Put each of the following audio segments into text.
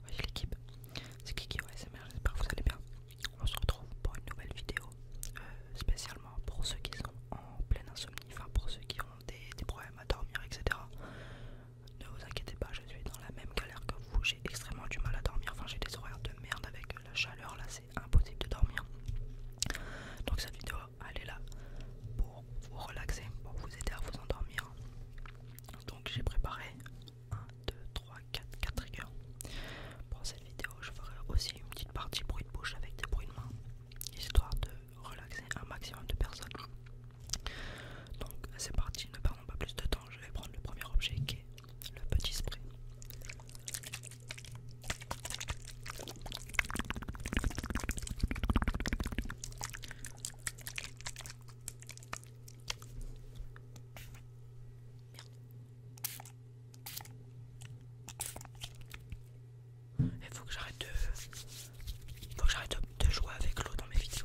Voici l'équipe, c'est Kiki ouais, j'espère que vous allez bien. On se retrouve pour une nouvelle vidéo euh, spécialement pour ceux qui sont en pleine insomnie, enfin pour ceux qui ont des, des problèmes à dormir, etc. Ne vous inquiétez pas, je suis dans la même galère que vous, j'ai extrêmement du mal à dormir, enfin j'ai des horaires de merde avec la chaleur là, c'est impossible de dormir. Donc cette vidéo elle est là pour vous relaxer, pour vous aider à vous endormir. Donc j'ai préparé 1, 2, 3, 4, 4 triggers. Pour cette vidéo, je ferai aussi une petite partie bruit de bouche avec des bruits de main, histoire de relaxer un maximum de personnes. Donc c'est parti, ne perdons pas plus de temps, je vais prendre le premier objet qui est le petit spray. Il faut que j'arrête de... Faut que j'arrête de, de jouer avec l'eau dans mes vidéos.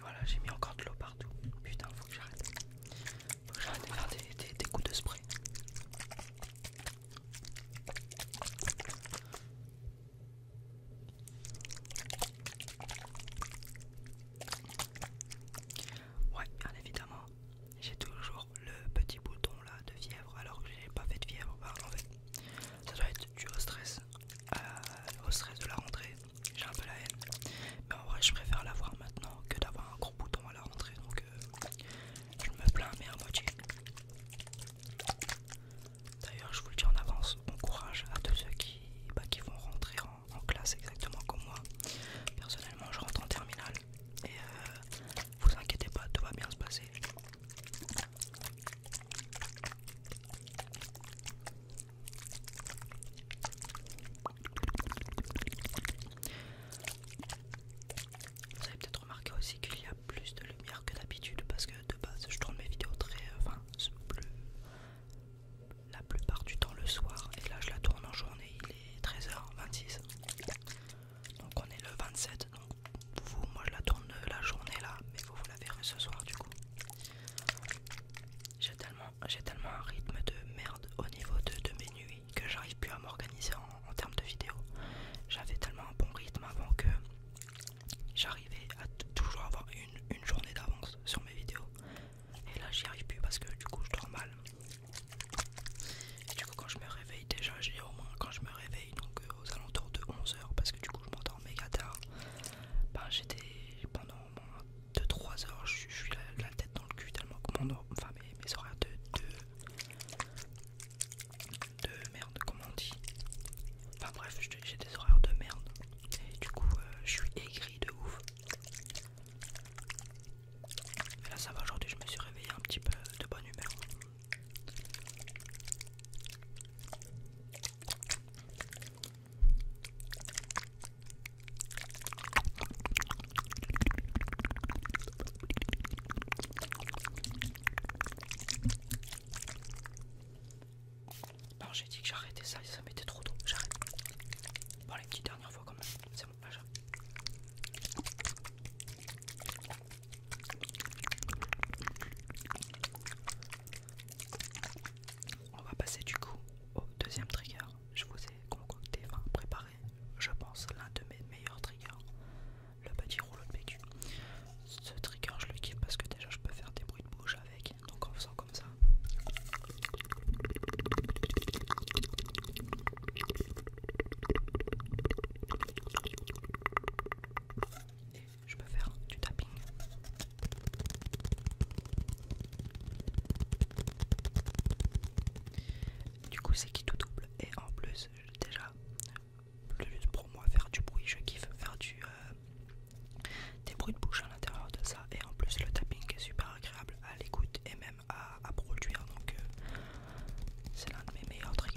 Voilà, j'ai mis encore de l'eau partout. Putain, faut que j'arrête. j'arrête de faire des coups de spray. Ouais, bien évidemment, j'ai toujours le petit bouton là de fièvre alors que j'ai pas fait de fièvre. en ça doit être dû au stress, euh, au stress de la rentrée. J'ai un peu la haine, mais en vrai, je préfère l'avoir maintenant que d'avoir un gros bouton à la rentrée donc euh, je me plains, mais à moitié. D'ailleurs, je vous le dis en avance, bon courage à tous ceux qui, bah, qui vont rentrer en en, classe exactement comme moi. Personnellement, je rentre en terminale et euh, vous inquiétez pas, tout va bien se passer. Vous avez peut-être remarqué aussi qu'il y a plus de lumière que d'habitude parce que de base je tourne mes vidéos très, euh, enfin, plus, la plupart du temps le soir et là je la tourne en journée il est 13h26 donc on est le 27 donc vous moi je la tourne la journée là mais vous vous la verrez ce soir du coup j'ai tellement j'ai tellement un rythme de merde au niveau de, mes nuits que j'arrive plus à m'organiser en, termes de vidéos j'avais tellement un bon rythme avant que j'arrivais à toujours avoir une journée d'avance sur mes vidéos et là j'y arrive plus parce que du coup je dors mal. Et du coup quand je me réveille déjà j'ai au moins quand je me réveille donc euh, aux alentours de 11h parce que du coup je m'endors méga tard. Ben j'étais pendant au moins 2-3 heures je suis la, tête dans le cul tellement que enfin mes, horaires de, de merde comme on dit. Enfin bref j'ai des horaires de merde du coup, euh, je suis aigri de ouf. là, ça va. Aujourd'hui, je me suis réveillé un petit peu de bonne humeur. Non, j'ai dit que j'arrêtais ça ça m'était trop tôt. J'arrête. Bon, les petites dernières fois quand même. C'est bon, j'arrête. On va passer du coup au deuxième trigger. Je vous ai concocté, préparé, je pense, l'un de mes meilleurs triggers, le petit rouleau de bécu. Ce trigger, je le kiffe parce que déjà je peux faire des bruits de bouche avec donc en faisant comme ça. Je peux faire du tapping. Du coup, c'est qui tout double et en plus, déjà, plus pour moi, faire du bruit, je kiffe faire du, euh, des bruits de bouche à l'intérieur de ça et en plus le tapping est super agréable à l'écoute et même à, produire donc euh, c'est l'un de mes meilleurs triggers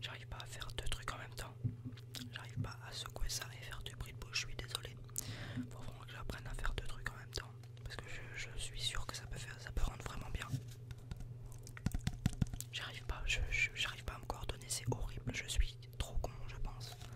J'arrive pas à faire deux trucs en même temps. J'arrive pas à secouer ça et faire du bruit de bouche. Je suis désolé. Faut vraiment que j'apprenne à faire deux trucs en même temps. Parce que je, suis sûr que ça peut faire, ça peut rendre vraiment bien. J'arrive pas, je, pas à me coordonner, c'est horrible, je suis trop con je pense.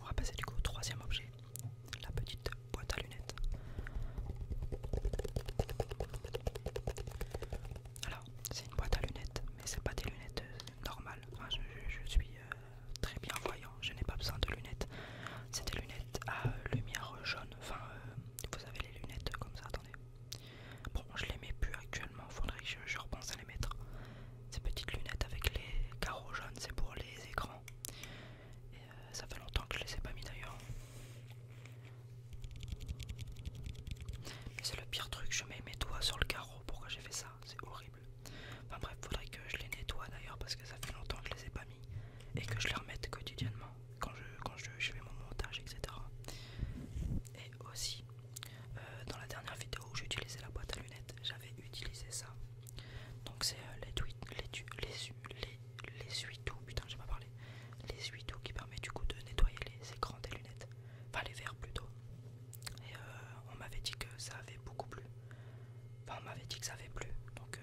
on va passer du coup au troisième objet la petite boîte à lunettes. Alors, c'est une boîte à lunettes, mais c'est pas des lunettes euh, normales. je, suis euh, très bien voyant, je n'ai pas besoin de lunettes. C'est des lunettes à euh, lumière jaune. Enfin, vous avez les lunettes comme ça, attendez. Bon, je les mets plus actuellement, faudrait que je, repense à les mettre. Ces petites lunettes avec les carreaux jaunes, c'est pour les écrans. Euh, ça fait longtemps que je les ai pas mis d'ailleurs. c'est le pire truc, je mets mes doigts sur le carreau. Pourquoi j'ai fait ça C'est horrible. Enfin bref, faudrait que je les nettoie d'ailleurs parce que ça fait longtemps que je les ai pas mis et que je les remette quotidiennement quand je, fais mon montage, etc. Et aussi, euh, dans la dernière vidéo où j'utilisais la boîte à lunettes, j'avais utilisé ça donc c'est euh, les tweets, les les, putain j'ai pas parlé, les ou qui permet du coup de nettoyer les écrans des lunettes, enfin les verres plutôt. Et euh, on m'avait dit que ça avait beaucoup plu. Enfin on m'avait dit que ça avait plu, donc... Euh,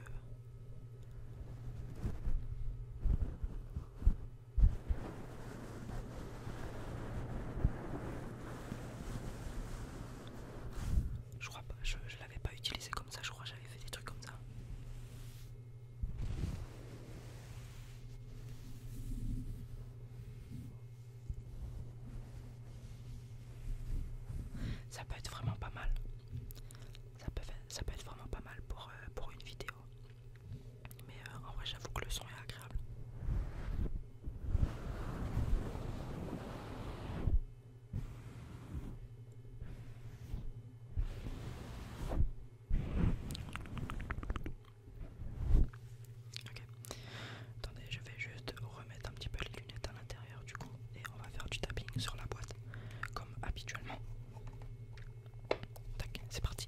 je crois pas, je l'avais pas utilisé comme ça, je crois j'avais fait des trucs comme ça. Ça peut être vraiment pas mal. Ça peut, être vraiment pas mal pour, euh, pour une vidéo. Mais euh, en vrai j'avoue que le son est agréable. Ok. Attendez, je vais juste remettre un petit peu les lunettes à l'intérieur du coup et on va faire du tapping sur la boîte comme habituellement. Tac, c'est parti.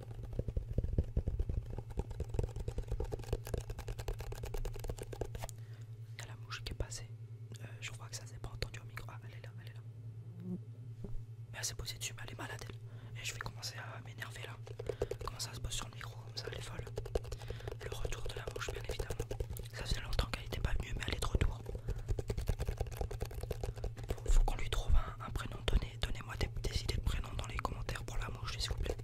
Il y a la mouche qui est passée. Euh, je crois que ça s'est pas entendu au micro. Ah, elle est là, elle est là. Mais elle s'est posée dessus, mais elle est malade elle. Et je vais commencer à m'énerver là. Comment ça se pose sur le micro comme ça, elle est folle. Le retour de la mouche, bien évidemment. Ça faisait longtemps qu'elle n'était pas mieux, mais elle est de retour. il faut qu'on lui trouve un un, prénom donné. donnez-moi des, des idées de prénoms dans les commentaires pour la mouche, s'il vous plaît.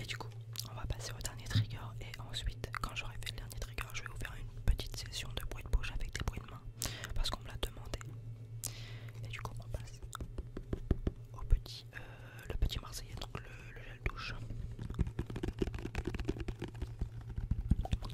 Et du coup, on va passer au dernier trigger et ensuite, quand j'aurai fait le dernier trigger, je vais vous faire une petite session de bruit de bouche avec des bruits de main parce qu'on me l'a demandé. Et du coup, on passe au petit, euh, le petit marseillais, donc le, le gel douche.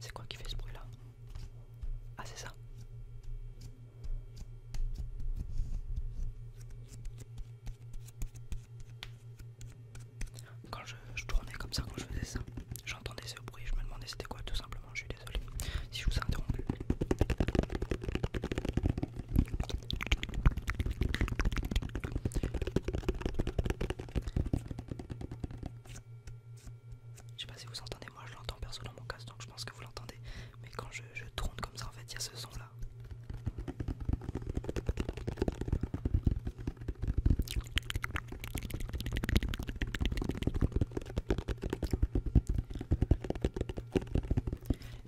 C'est quoi qui fait ce bruit là Ah c'est ça quand je, tournais comme ça, quand je faisais ça, j'entendais ce bruit, je me demandais c'était quoi tout simplement, je suis désolé si je vous ai interrompu. Je sais pas si vous entendez, moi je l'entends personne dans mon casque donc je pense que vous l'entendez, mais quand je tourne comme ça en fait il y a ce son là.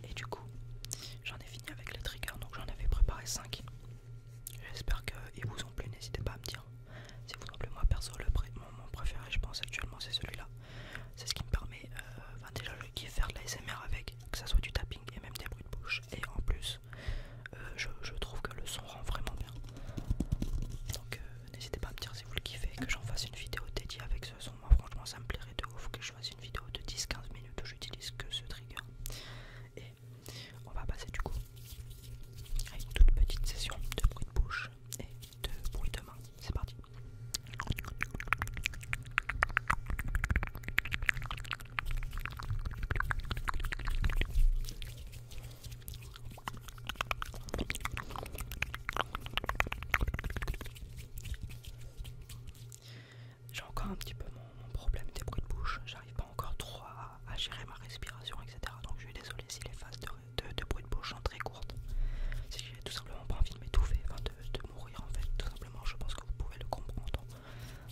Et du coup, j'en ai fini avec les triggers, donc j'en avais préparé 5. J'espère qu'ils vous ont plu, n'hésitez pas à me dire si vous en plu. Moi perso, le mon, préféré, je pense actuellement, c'est celui-là. C'est ce qui me permet, euh, ben, déjà de faire de l'ASMR avec, que ça soit du tapping et même des bruits de bouche. Et en plus, euh, je, trouve que le son rend vraiment bien. Donc euh, n'hésitez pas à me dire si vous le kiffez, que j'en fasse une vidéo dédiée avec ce son. Moi franchement ça me plairait de ouf que je fasse une vidéo de 10-15 minutes où j'utilise que ce trigger. Et on va passer du coup à une toute petite session de bruit de bouche et de bruit de main. C'est parti. J'ai encore un petit peu mon, problème des bruits de bouche, j'arrive pas encore trop à, gérer ma respiration, etc. Donc je suis désolé si les phases de, bruit de bouche sont très courtes. Si j'ai tout simplement pas envie de m'étouffer, enfin de mourir en fait, tout simplement, je pense que vous pouvez le comprendre.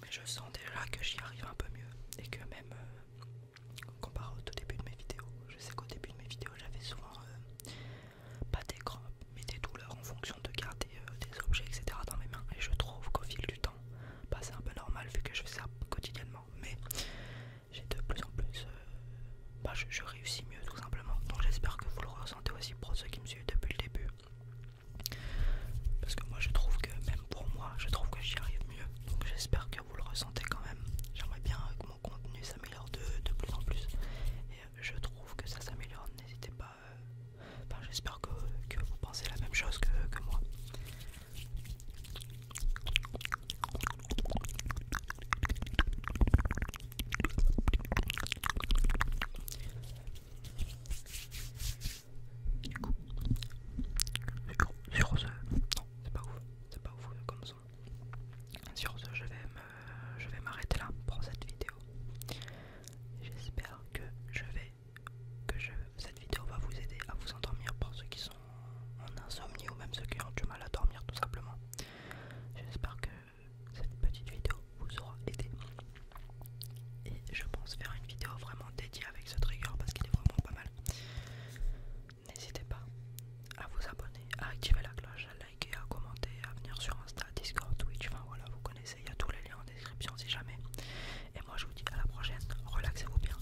mais je sens déjà que j'y arrive un peu mieux et que même euh, comparé au début de mes vidéos, je sais qu'au début de mes vidéos j'avais souvent euh, pas des crampes mais des douleurs en fonction de garder euh, des objets etc dans mes mains et je trouve qu'au fil du temps, bah, c'est un peu normal vu que je fais ça quotidiennement mais j'ai de plus en plus, bah, je réussis mieux tout simplement donc j'espère que vous le ressentez aussi pour ceux qui me suivent depuis le début parce que moi je trouve que même pour moi je trouve que j'y arrive mieux. Donc j'espère que vous le ressentez quand même. J'aimerais bien que mon contenu s'améliore de, plus en plus. Et euh, je trouve que ça s'améliore. N'hésitez pas. Euh, enfin j'espère que, vous pensez la même chose que, que moi. Du coup, sur ce, non, c'est pas ouf, c'est pas ouf comme son. Sur ce, je vais m'arrêter là pour cette vidéo. J'espère que je vais que cette vidéo va vous aider à vous endormir pour ceux qui sont en insomnie ou même ceux qui ont du mal à dormir tout simplement. J'espère que cette petite vidéo vous aura aidé. Et je pense faire une vidéo vraiment dédiée avec ce trigger parce qu'il est vraiment pas mal. N'hésitez pas à vous abonner, à activer la cloche, à liker, à commenter, à venir sur Insta, Discord, Twitch, enfin voilà, vous connaissez, il y a tous les liens en description si jamais. Et moi je vous dis à la prochaine, relaxez-vous bien.